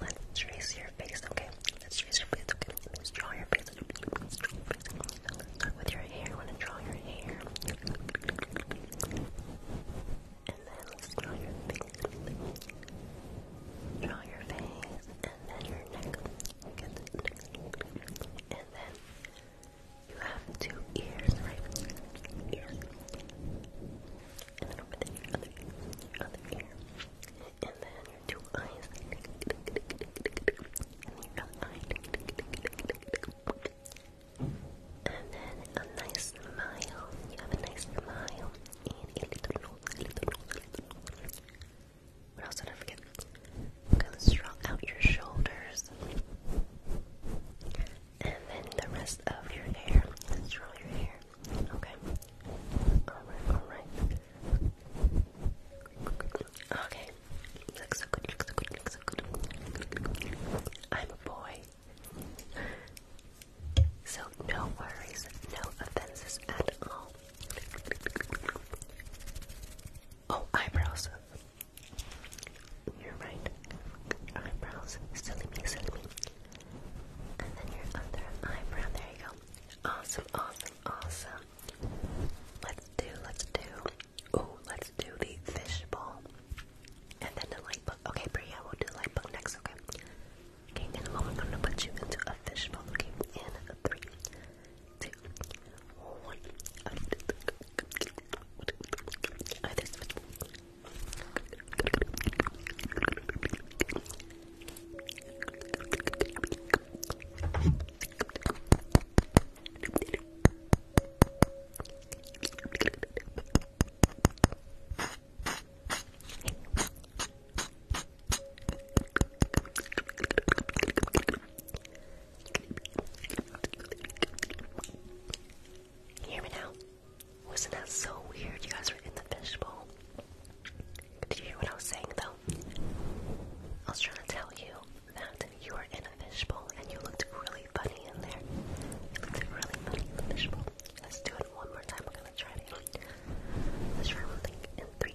Let's trace your face, okay? Let's trace your face, okay? Let's draw your face. Let's start with your hair. I want to draw your hair. And then let's draw your face. Draw your face. And then your neck. And then you have two ears, right? and then over there, your other ear, your other ear, and then your two eyes, and then your other eye, and then a nice smile. You have a nice smile and a little nose, a little nose, a little nose. What else did I forget? Okay, let's draw out your shoulders. And then the rest of your hair. Let's draw your hair. Okay. Alright, alright. Okay. so I'm a boy. So no worries, no offenses at all. Oh, eyebrows. You're right. Eyebrows. And then your other eyebrow. There you go. Awesome, awesome, awesome. Let's do, let's do. Oh, let's do the fishbowl. And then the light book. Okay, Priya, we'll do the light book next, okay? Okay, in a moment, I'm gonna put you into a fishbowl. Okay, in three, two, one. Either switch. Hear me now. Wasn't that so weird? You guys were in the fishbowl. Did you hear what I was saying though? I was trying to tell you that you were in a fishbowl and you looked really funny in there. You looked really funny in the fishbowl. Let's do it one more time. We're gonna try it. Let's try one thing in three.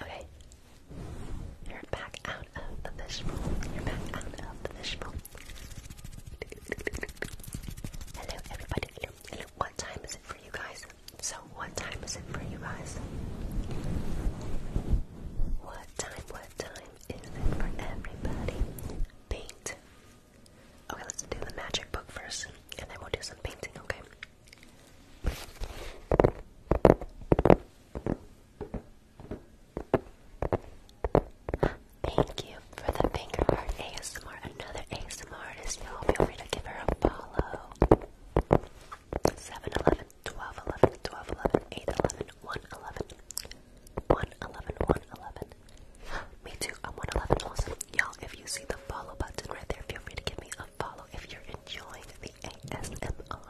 Okay. You're back out of the fishbowl. You're back out of the fishbowl. Hello, everybody. What time is it for you guys? So, what time is it for you guys? What time? What time is it for everybody? Paint. Okay, let's do the magic book first, and then we'll do some painting. Okay. Thank you for the finger art ASMR. Another ASMR artist, y'all. Feel free to give her a follow. 7 Me too, I'm 111 also. Y'all, if you see the follow button right there, feel free to give me a a follow if you're enjoying the ASMR.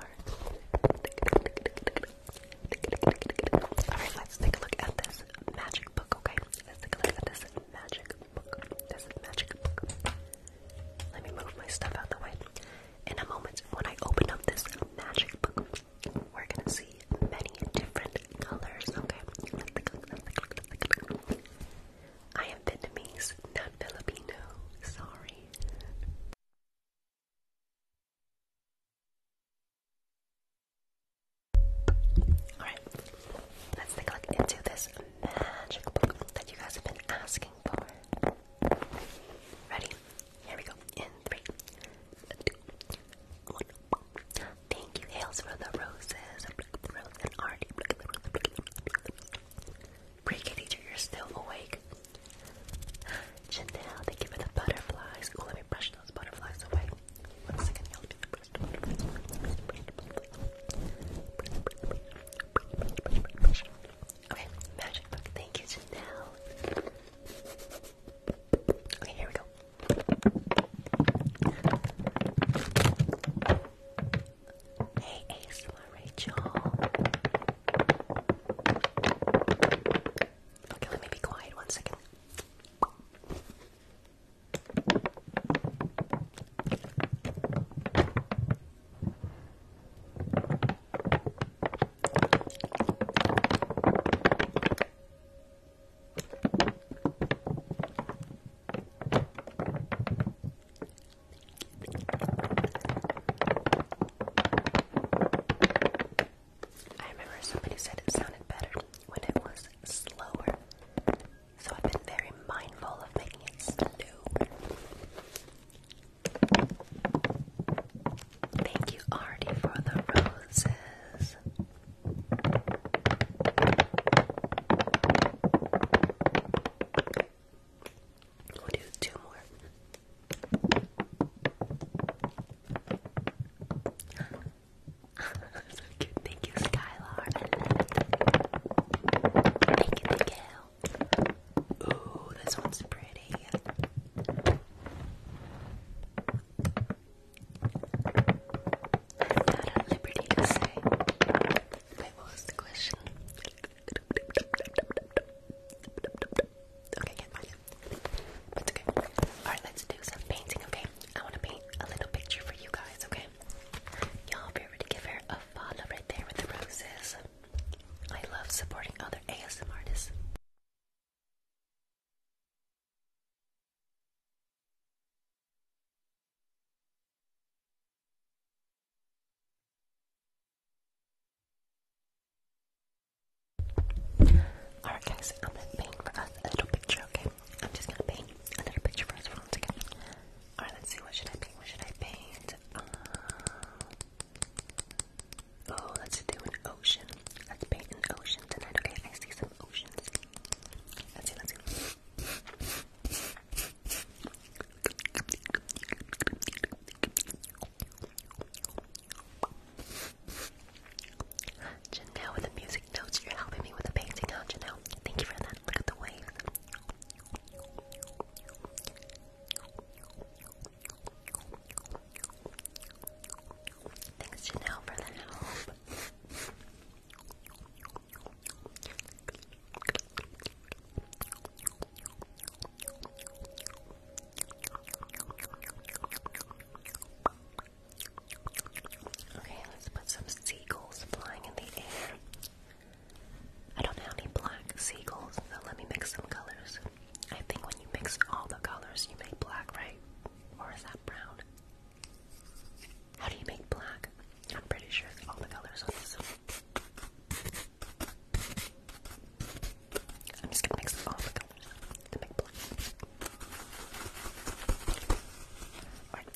Alright, let's take a look at this magic book, okay? Let's take a look at this magic book. This magic book. Let me move my stuff out the way. In a moment, when I open up this magic book, we're gonna see many different colors, okay? I am Vietnamese, not Filipino. Sorry. Alright, let's take a look into this magic book that you guys have been asking for. Ready? Here we go. In three, two, one. Thank you, Hales, for the roses. and Artie. Break teacher, you're still awake. Chantel, thank you for the butterflies. Oh, let me brush those butterflies away. One second, y'all. Brush Okay, magic Thank you, Chantel. Okay, here we go. Hey, ASMR Rachel. Okay, let me be quiet one second. I remember somebody said it sounded better when it was slower. So I've been very mindful of making it slow. Thank you, Artie, for the roses. We'll do two more. so cute. Thank you, Skylar. Thank you, thank Ooh, this one's pretty. I'm not at liberty to say. what was the question? Okay, I Alright, let's do some painting, okay? I want to paint a little picture for you guys, okay? Y'all be ready to give her a follow right there with the roses. I love supporting other ASM artists. Alright guys, I'm gonna paint for us a little picture, okay? I'm just gonna paint a little picture for us for once again. Alright, let's see, what should I paint? What should I paint? Uh, oh, let's do an ocean. Let's paint an ocean tonight, okay? I see some oceans. Let's see, let's see. Janelle with the music notes, you're helping me with the painting now, Janelle. Thank you for that. Look at the waves. Thanks, Janelle, for the help. Okay, let's put some seagulls flying in the air. I don't have any black seagulls, so let me mix some colors. I think when you mix all the colors, you make black, right? Or is that brown? How do you make black? I'm pretty sure all the colors on this. I'm just gonna mix all the to make black. Alright,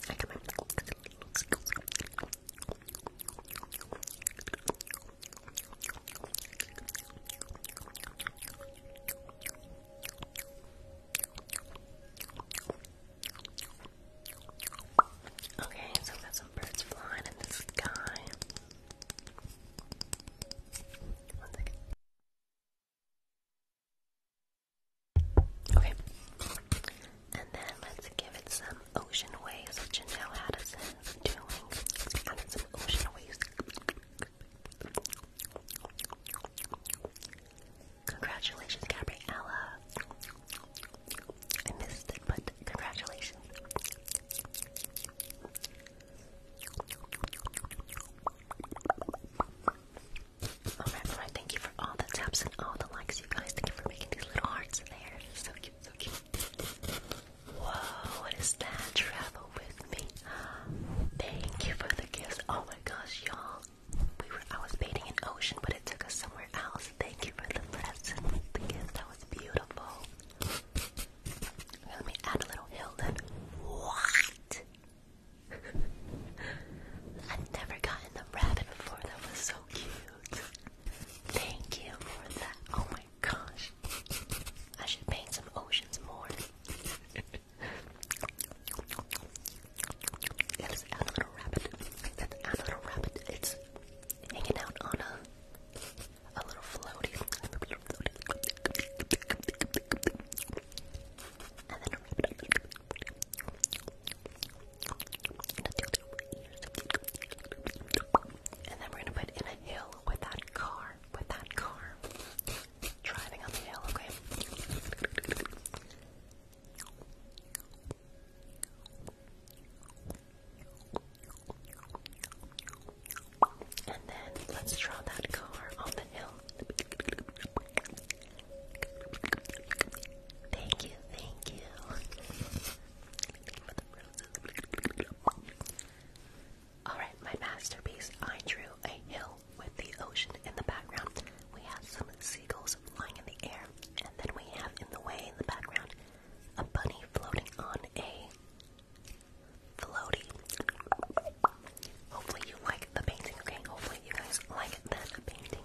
Okay, so that's Okay. And then let's give it some ocean waves, which Addison doing. some ocean waves. Congratulations, Gabriella. I missed it, but congratulations. Alright, alright, thank you for all the taps and all the likes, you guys. Thank you for making these little hearts there. So cute, so cute. Whoa, what is that? Travel with me. Thank you for the gifts. Oh my gosh, y'all. We were I was bathing in ocean, but it took us somewhere else. Thank you for the presents. The gifts that was beautiful. Let me add a little hill then. What? I've never gotten the rabbit before. That was so cute. Thank you for that. Oh my gosh. I should paint some oceans more. let's add a little rabbit. Let's add a little rabbit. It's hanging out on a a little floaty. And then we're gonna put in a hill with that car, with that car driving up the hill, okay? And then let's draw that car on the hill. Thank you, thank you. Alright, my masterpiece. I drew a hill with the ocean in the background. We have some seagulls flying in the air, and then we have in the way in the background a bunny floating on a floaty. Hopefully you like the painting, okay? Hopefully you guys like that painting.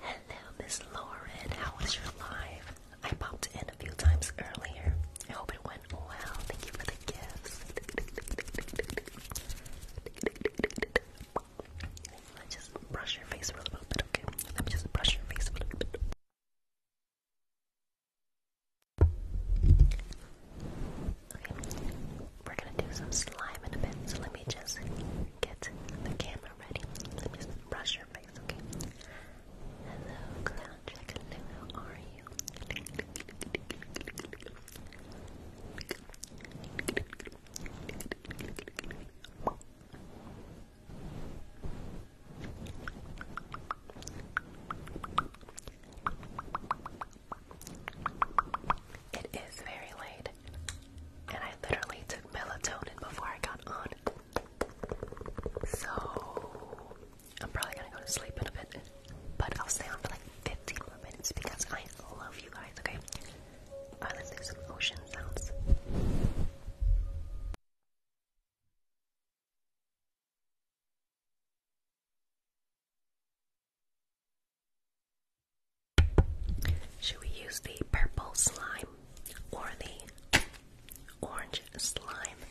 Hello, Miss Lauren. How was your live? I popped in a few times earlier. I hope it went well. Thank you for the gifts. Let's just brush your face a little bit, okay? Let me just brush your face a little bit. Okay, we're gonna do some slime in a bit, so let me just get the camera ready. Let me brush your face, okay? Hello, clown check. how are you? It is very late, and I literally took melatonin before I got on. So, I'm probably gonna go to sleep in a bit, but I'll stay on for like 15 more minutes because I love you guys, okay? Should we use the purple slime or the orange slime?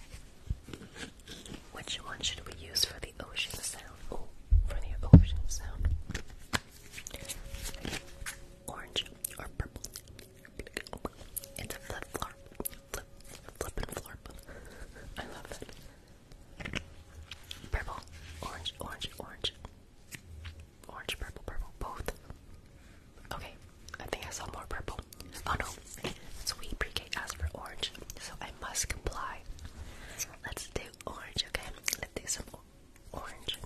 Which one should we use for the ocean sound? Oh, for the ocean sound. Orange or purple. It's a flip flop. Flip, flip and I love it. Purple, orange, orange, orange. Orange, purple, purple, both. Okay, I think I saw more purple. Oh no, sweet pre-K asked for orange, so I must comply. Let's do orange, okay? Let's do some orange.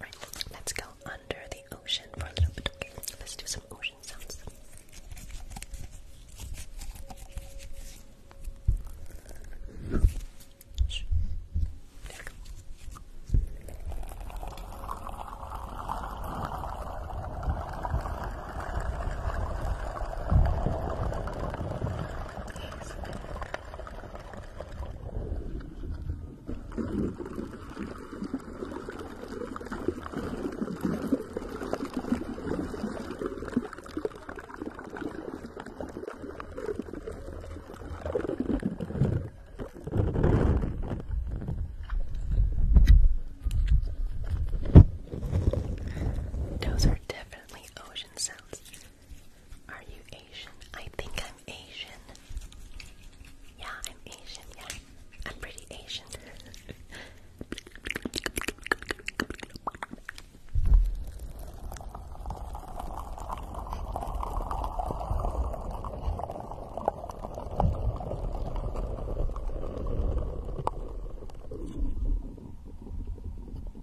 Right, let's go under the ocean for a little bit. let's do some ocean sounds. There those are different ocean sounds. Are you Asian? I think I'm Asian. Yeah, I'm Asian. Yeah, I'm pretty Asian.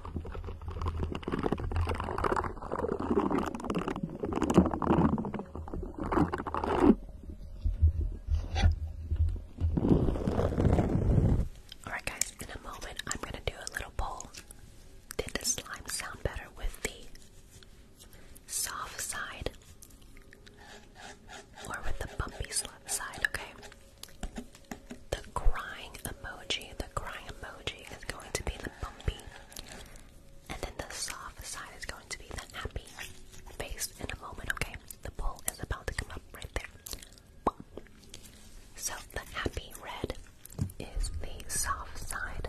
Alright, guys, in a moment I'm going to do a little poll. Did the slime sound better with the soft side or with the bumpy side? Okay. The crying emoji, the crying emoji is going to be the bumpy, and then the soft side is going to be the happy face in a moment, okay? The bowl is about to come up right there. So the happy red is the soft side.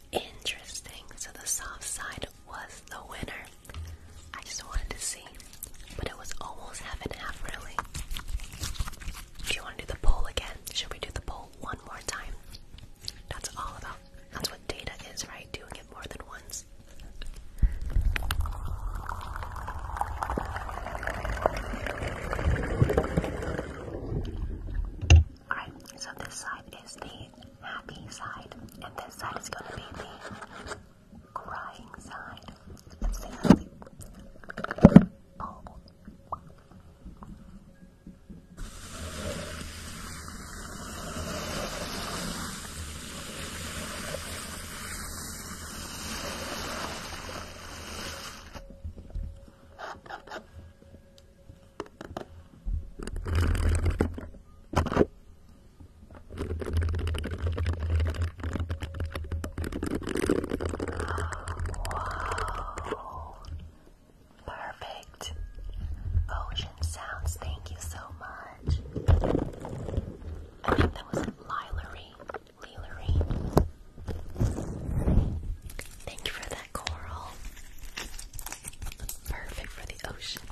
Interesting. So the soft side was the winner. I just wanted to see. But it was almost half and half, really. Do you want to do the poll again? Should we do the poll one more time? That's all about. That's what data is, right? Doing it more than once. Alright, so this side is the happy side, and this side is going to be the crying side. Let's see, Wow. Perfect. Ocean sounds, thank you so much. I think that was Lilery. Leelery. Thank you for the coral. Perfect for the ocean.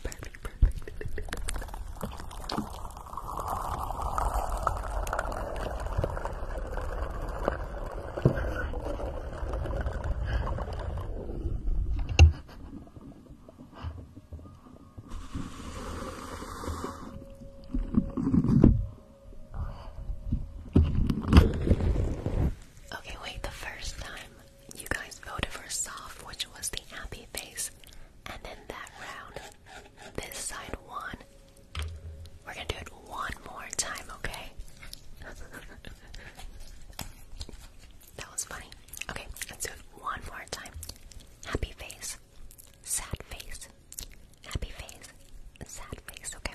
Okay, wait, the first time you guys voted for soft, which was the happy face, and then that round, this side won. We're gonna do it one more time, okay? that was funny. Okay, let's do it one more time. Happy face, sad face, happy face, sad face, okay?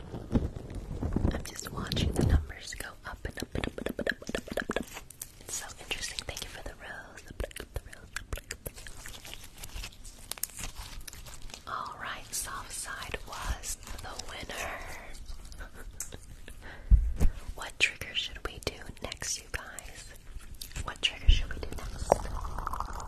I'm just watching the numbers go up and up and up and up and up and up and up. And up. It's so interesting. Thank you for the rose. The black, the rose, the black, the rose. All right, soft side was the winner. what trigger should we do next, you guys? What trigger should we do next?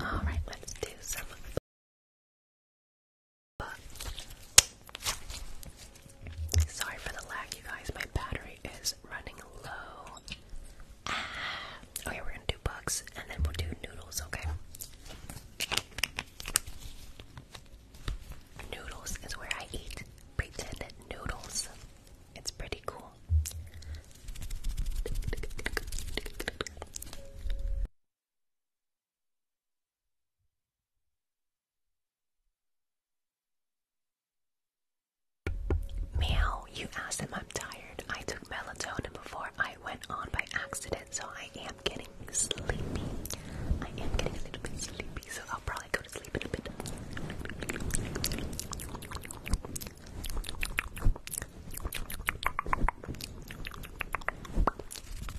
All right, let's do some book. Sorry for the lag, you guys. My battery is running low. Ah. Okay, we're gonna do books and then we'll do noodles, okay? Noodles is where I eat pretend noodles. It's pretty cool. Meow, you asked him I'm tired. I took melatonin before I went on by accident, so I am getting sleepy. I am getting a little bit sleepy, so I'll probably go to sleep in a bit.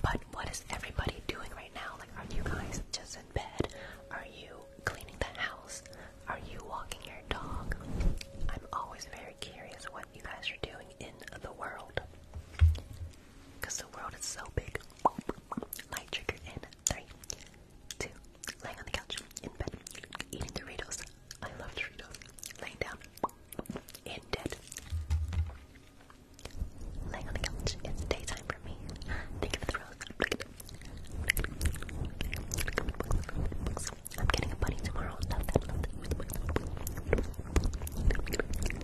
But what is everybody doing right now? Like, are you guys just in bed? Are you cleaning the house? Are you walking your dog? I'm always very curious what you guys are doing in the world. Because the world is so big. Light trigger in three, two, laying on the couch, in bed, eating Doritos, I love Doritos. Laying down in Laying on the couch. It's daytime for me. Think of the rose. I'm getting a bunny tomorrow.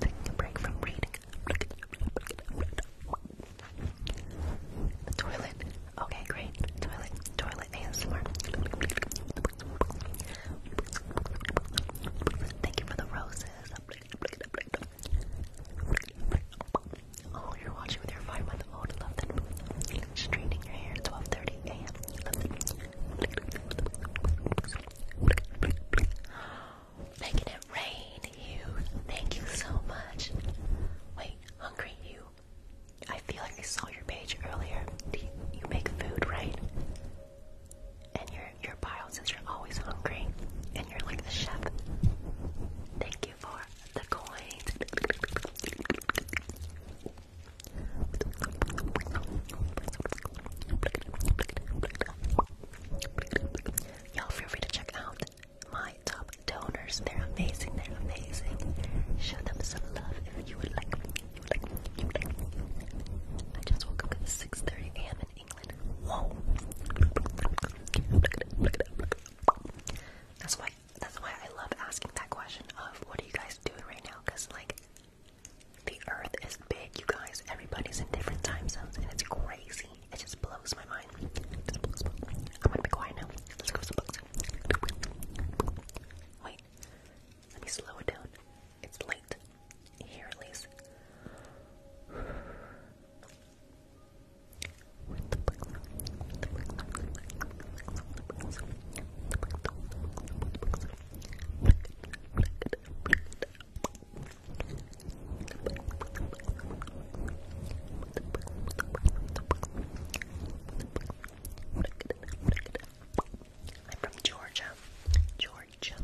Taking a break from reading. toilet. Okay, great. Toilet. Toilet. Thank you for the roses. Oh, you're watching with your five-month-old. Love Straightening your hair at 12:30 a.m. Making it rain, you. Thank you so much. Wait, hungry you. I feel like I saw your page earlier. you, you make food, right? And your your bio says you're always hungry, and you're like the chef. Thank you for the coins. Y'all feel free to check out my top donors. They're amazing. They're amazing. Show them some love if you would like. I just woke up at 6:30 a.m. in England. Whoa! That's why, that's why I love asking that question of what are you guys doing right now? Because like, the Earth is big, you guys. Everybody's in different time zones, and it's crazy. It just blows my mind. I'm gonna be quiet now. Wait. Let me slow it down. It's late. Here at least. I'm from Georgia. Georgia.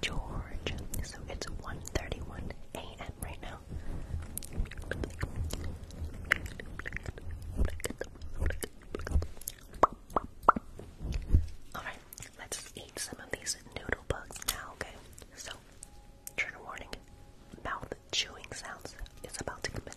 Georgia. So it's 1.31 a.m. right now. Alright, let's eat some of these noodle bugs now, okay? So, trigger warning, mouth chewing sounds is about to commence.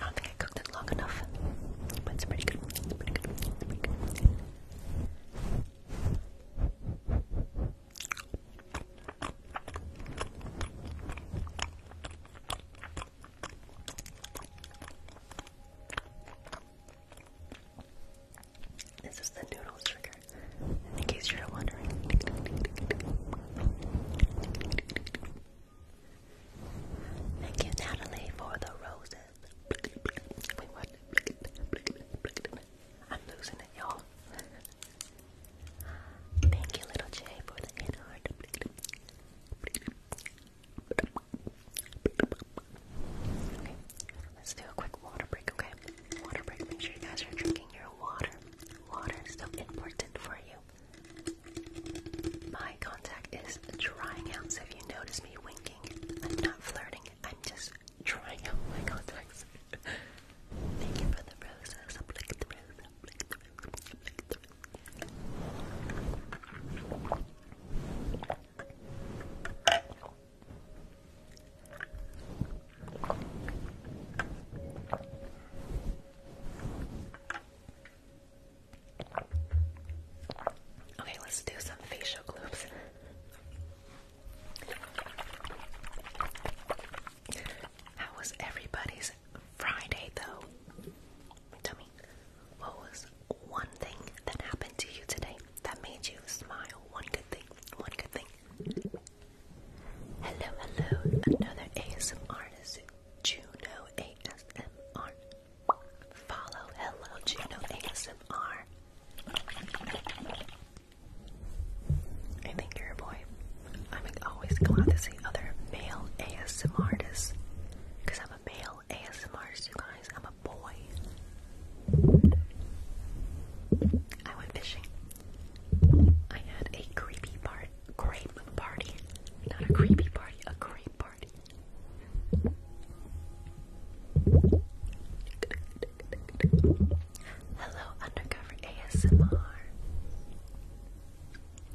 I don't think I cooked it long enough, but it's pretty pretty good. It's This is the noodles trigger, in case you're wondering. Thank you, Natalie, for the roses. I'm losing it, y'all. Thank you, little Jay, for the hand heart. let's do a quick water break, okay? Water break, make sure you guys are drinking your water. Water is so important for you. My contact is drying out, so if you notice me winking, I'm not flirting, I'm just drying out my contacts. Thank you for the roses. I'll lick the rose, Okay, let's do some facial gloops. How was everybody's Friday though? Tell me, what was one thing that happened to you today that made you smile? One good thing, one good thing. Hello, hello, another ASM artist, Juno ASMR. Follow Hello Juno ASMR. I think you're a boy. I'm always glad to see other male ASMR artists. Because I'm a male ASMR artist, you guys. I'm a boy. I went fishing. I had a creepy part, grape party. Not a creepy party, a grape party. Hello, undercover ASMR.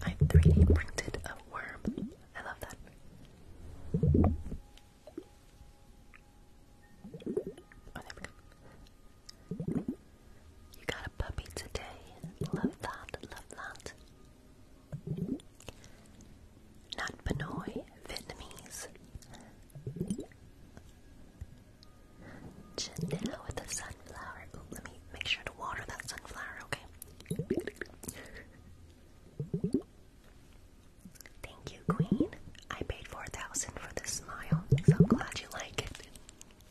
I 3D printed a worm. I love that. Oh, there we go. You got a puppy today. Love that, love that. Not Pinoy, Vietnamese. Janelle with the sunflower. let me make sure to water that sunflower, okay? Thank you, Queen. I paid 4000 for this smile, so I'm glad you like it.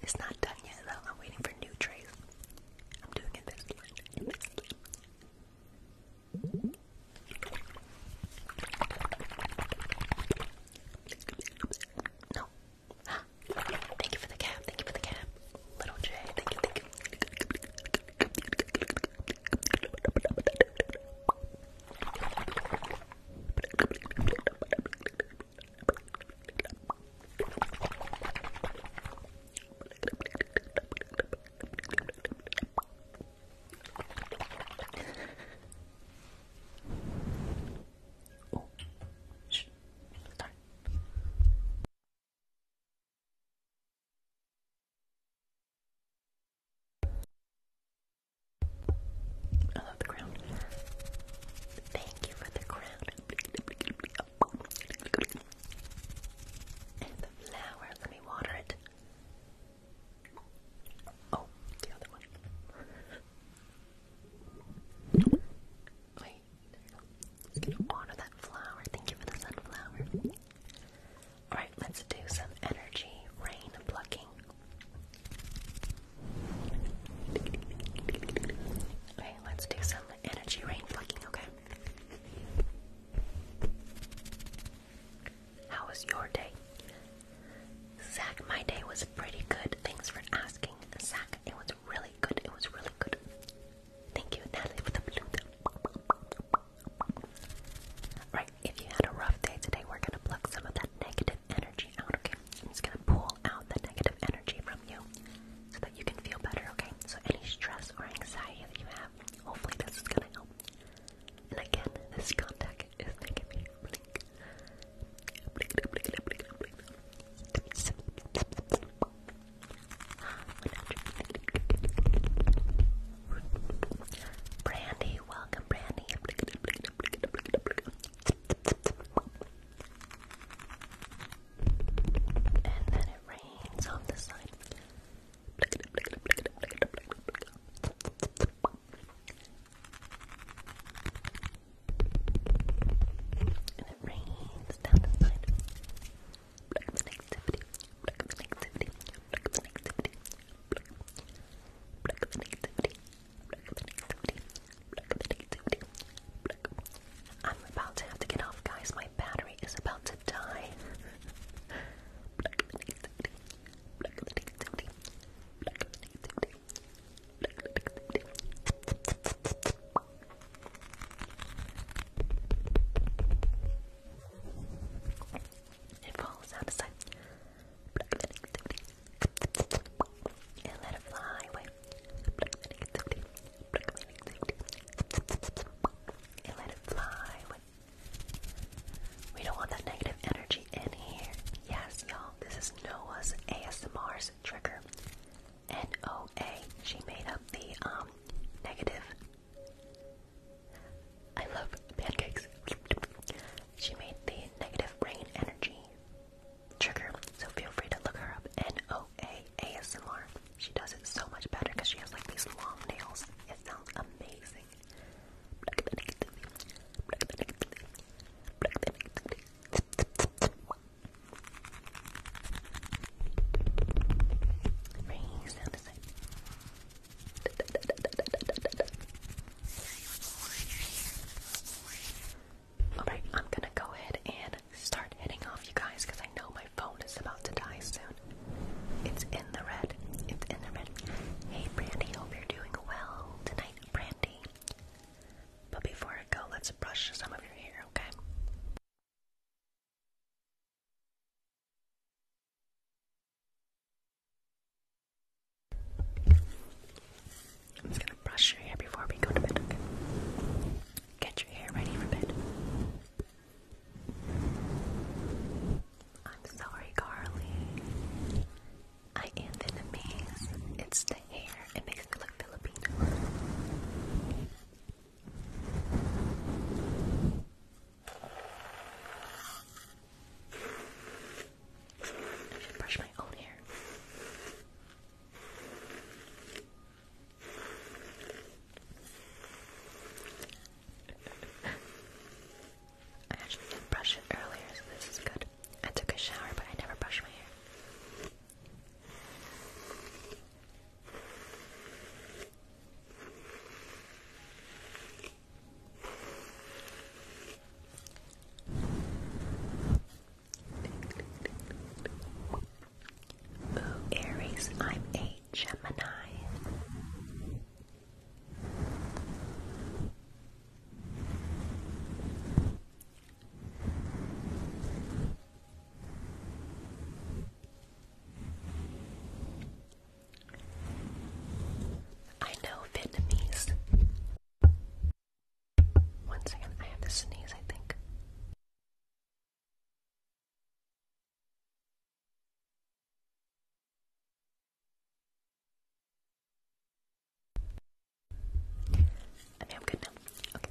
It's not done yet, though. I'm waiting for new trays. I'm doing it this time. No. Thank you for the cap. Thank you for the cap. Little J. Thank you. Thank you oh, shh, darn. I love the crown. Thank you for the crown. Oh, the flower, let me water it. Oh, the other one. Wait, there we go. water that flower. Thank you for the sunflower. Alright, let's do some energy rain plucking. Okay, let's do some energy rain plucking, okay? How was your day? Zach, my day was pretty good. Thanks for asking, Zach. It was really good. It was really good. Thank you, Natalie, for the blue. Right, if you had a rough day today, we're gonna pluck some of that negative energy out, okay? i just gonna pull out the negative energy from so that you can feel better, okay? So, any stress or anxiety that you have, hopefully, this is gonna help. And again, this contact is making me blink. Blink, welcome, Brandy. And then it rains on the side. And it rains down the side. I'm about to have to get off, guys. My battery is about to die. It falls out of sight. And let it fly away and let it fly. We don't want that negative energy in here. Yes, y'all, this is Noah's ASMR's trigger. N-O-A. She made up the um negative. I love pancakes. she made the negative brain energy trigger. So feel free to look her up. N-O-A ASMR. She does it so much better because she has like these long nails. It sounds amazing. Alright, I'm gonna go ahead and start heading off, you guys, because I know my phone is about to die soon. It's in the red. It's in the red. Hey, Brandy, hope you're doing well tonight, Brandy. But before I go, let's brush some of your hair, okay? I'm just gonna brush your hair before we go to bed, Get your hair ready for bed. I'm sorry, Carly. I am Vietnamese. It's the hair. It makes me look Filipino. I should brush my own hair. I actually did brush it earlier, so this is good. I took a shower, but I never brushed my hair. Oh Aries, I'm a Gemini. I know Vietnamese. Once I have to sneeze, I think. I'm good now. Okay.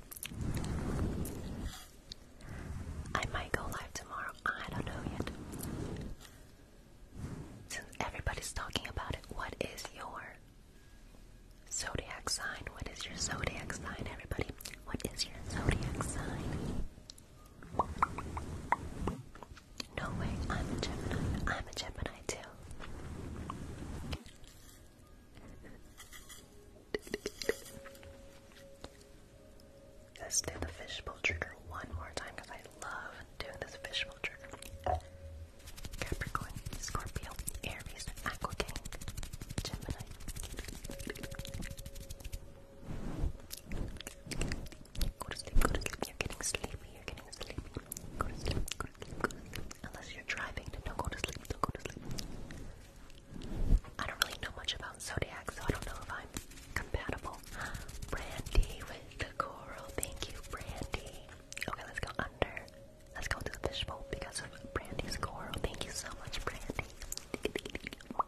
I might go live tomorrow. I don't know yet. Since everybody's talking about it, what is your zodiac sign? What is your zodiac sign? Everybody what is your zodiac sign? No way, I'm a Gemini. I'm a Gemini too. Let's do the fishbowl trigger one more time because I love doing this fishbowl trigger. Capricorn, Scorpio, Aries, Aqua Gemini. Go to sleep, go to sleep. You're getting sleepy, you're getting sleepy. Go to sleep, go to sleep, go to sleep. Unless you're driving, then don't go to sleep, don't go to sleep. I don't really know much about Zodiac, so I don't know if I'm compatible. Brandy with the coral. Thank you, Brandy. Okay, let's go under. Let's go to the fishbowl because of Brandy's coral. Thank you so much, Brandy.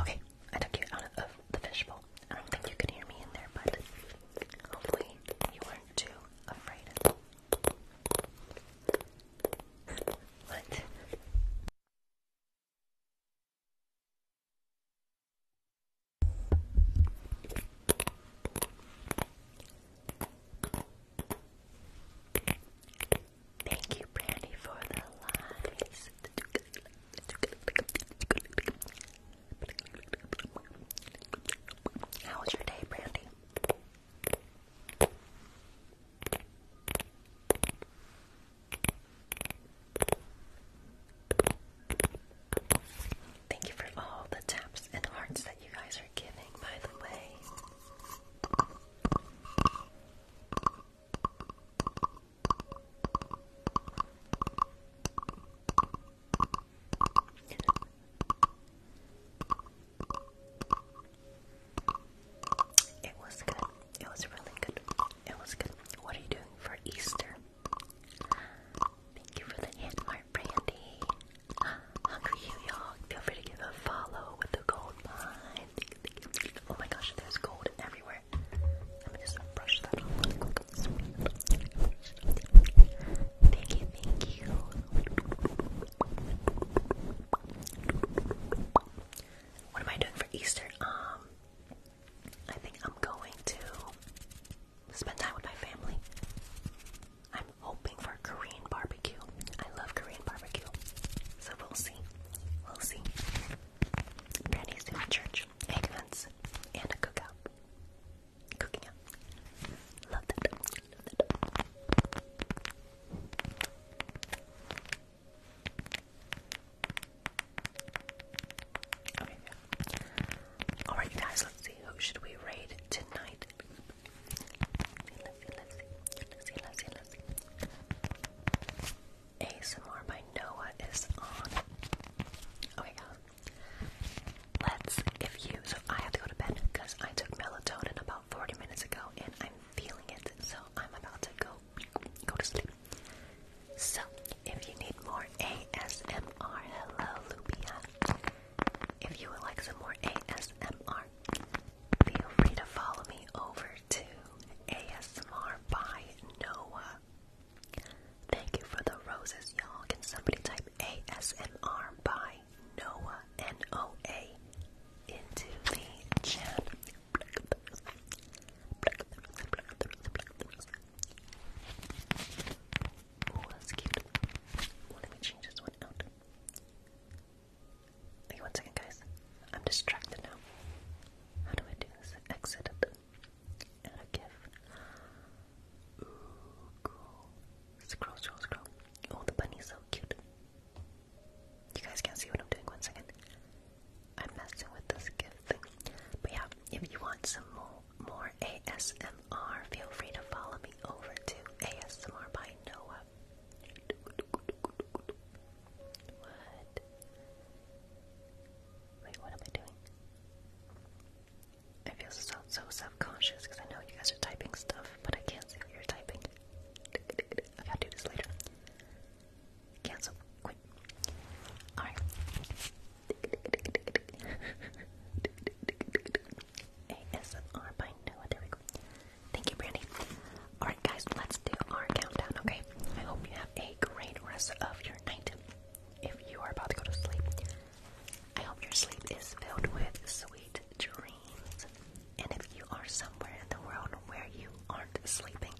Okay, I took you out of the fishbowl. I don't think you could hear me in there, but hopefully you weren't too afraid. What? Thank you, Brandy, for the lies. How was your day, Brandy? Thank you for all the taps and hearts that you guys are giving, by the way. It was good. It was really good it was good. What are you doing for Easter? Thank you for the hit, my brandy. Hungry you, y'all. Feel free to give a follow with the gold mine. Oh my gosh, there's gold everywhere. Let me just brush that off Thank you, thank you. What am I doing for Easter? Um, I think I'm going to spend time with my family. I'm hoping for Korean barbecue. I love Korean barbecue. So we'll see. We'll see. Granny's doing church, egg hunts, and a cookout. Cooking out. Love that. Love that. Alright, you guys. Let's see. Who should we raid tonight? ASMR by Noah is on. Okay, Let's. If you. So I have to go to bed because I took melatonin about 40 minutes ago, and I'm feeling it. So I'm about to go go to sleep. So, if you need more ASMR, hello If you would like some more ASMR, feel free to follow me over to ASMR by Noah. Thank you for the roses, y'all. Can somebody type ASMR by Noah N O A into the chat Oh, let me change this one out. Wait one second, guys. I'm distracted now. How do I do this? Exit it. a GIF. Ooh, cool. Scroll, scroll, scroll. Oh, the bunny's so cute. You guys can't see what I'm doing. One second. I'm messing with this gift thing. But yeah, if you want some more more ASMR, feel free to follow me over to ASMR by Noah. What? Wait, what am I doing? I feel so so self-conscious because I know you guys are typing stuff, but I can't see what you're typing. I do this later. Cancel. Quit. Alright. ASMR by Noah. There we go. Thank you, Brandy. Alright, guys, let's do our countdown, okay? I hope you have a great rest of your night. If you are about to go to sleep, I hope your sleep is filled with sweet dreams. And if you are somewhere in the world where you aren't sleeping,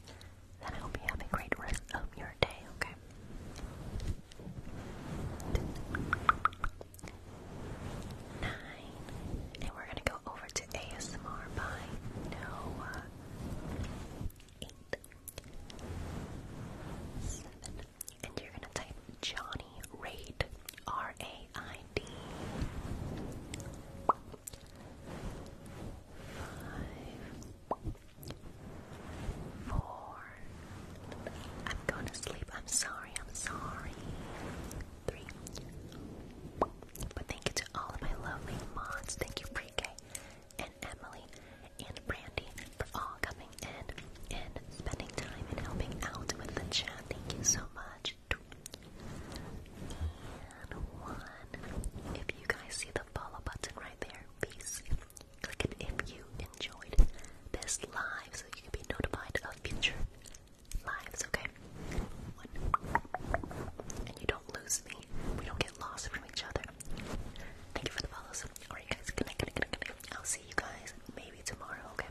and I hope you have a great rest of your day, okay? Nine. And we're gonna go over to ASMR by Noah. Eight. Seven. And you're gonna type Johnny Raid. R-A-I-D. Five. Four. I'm going to sleep. I'm sorry. I'm sorry. Three. But thank you to all of my lovely mods. Thank you, pre and Emily and Brandy for all coming in and spending time and helping out with the chat. Thank you so much. And one. If you guys see the follow button right my bare Click it if you enjoyed this live so you can be notified of future lives, okay? And you don't lose me. We don't get lost from each other. Thank you for the follows. Alright guys, good night, good night, I'll see you guys maybe tomorrow, okay?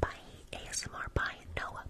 Bye ASMR, bye Noah.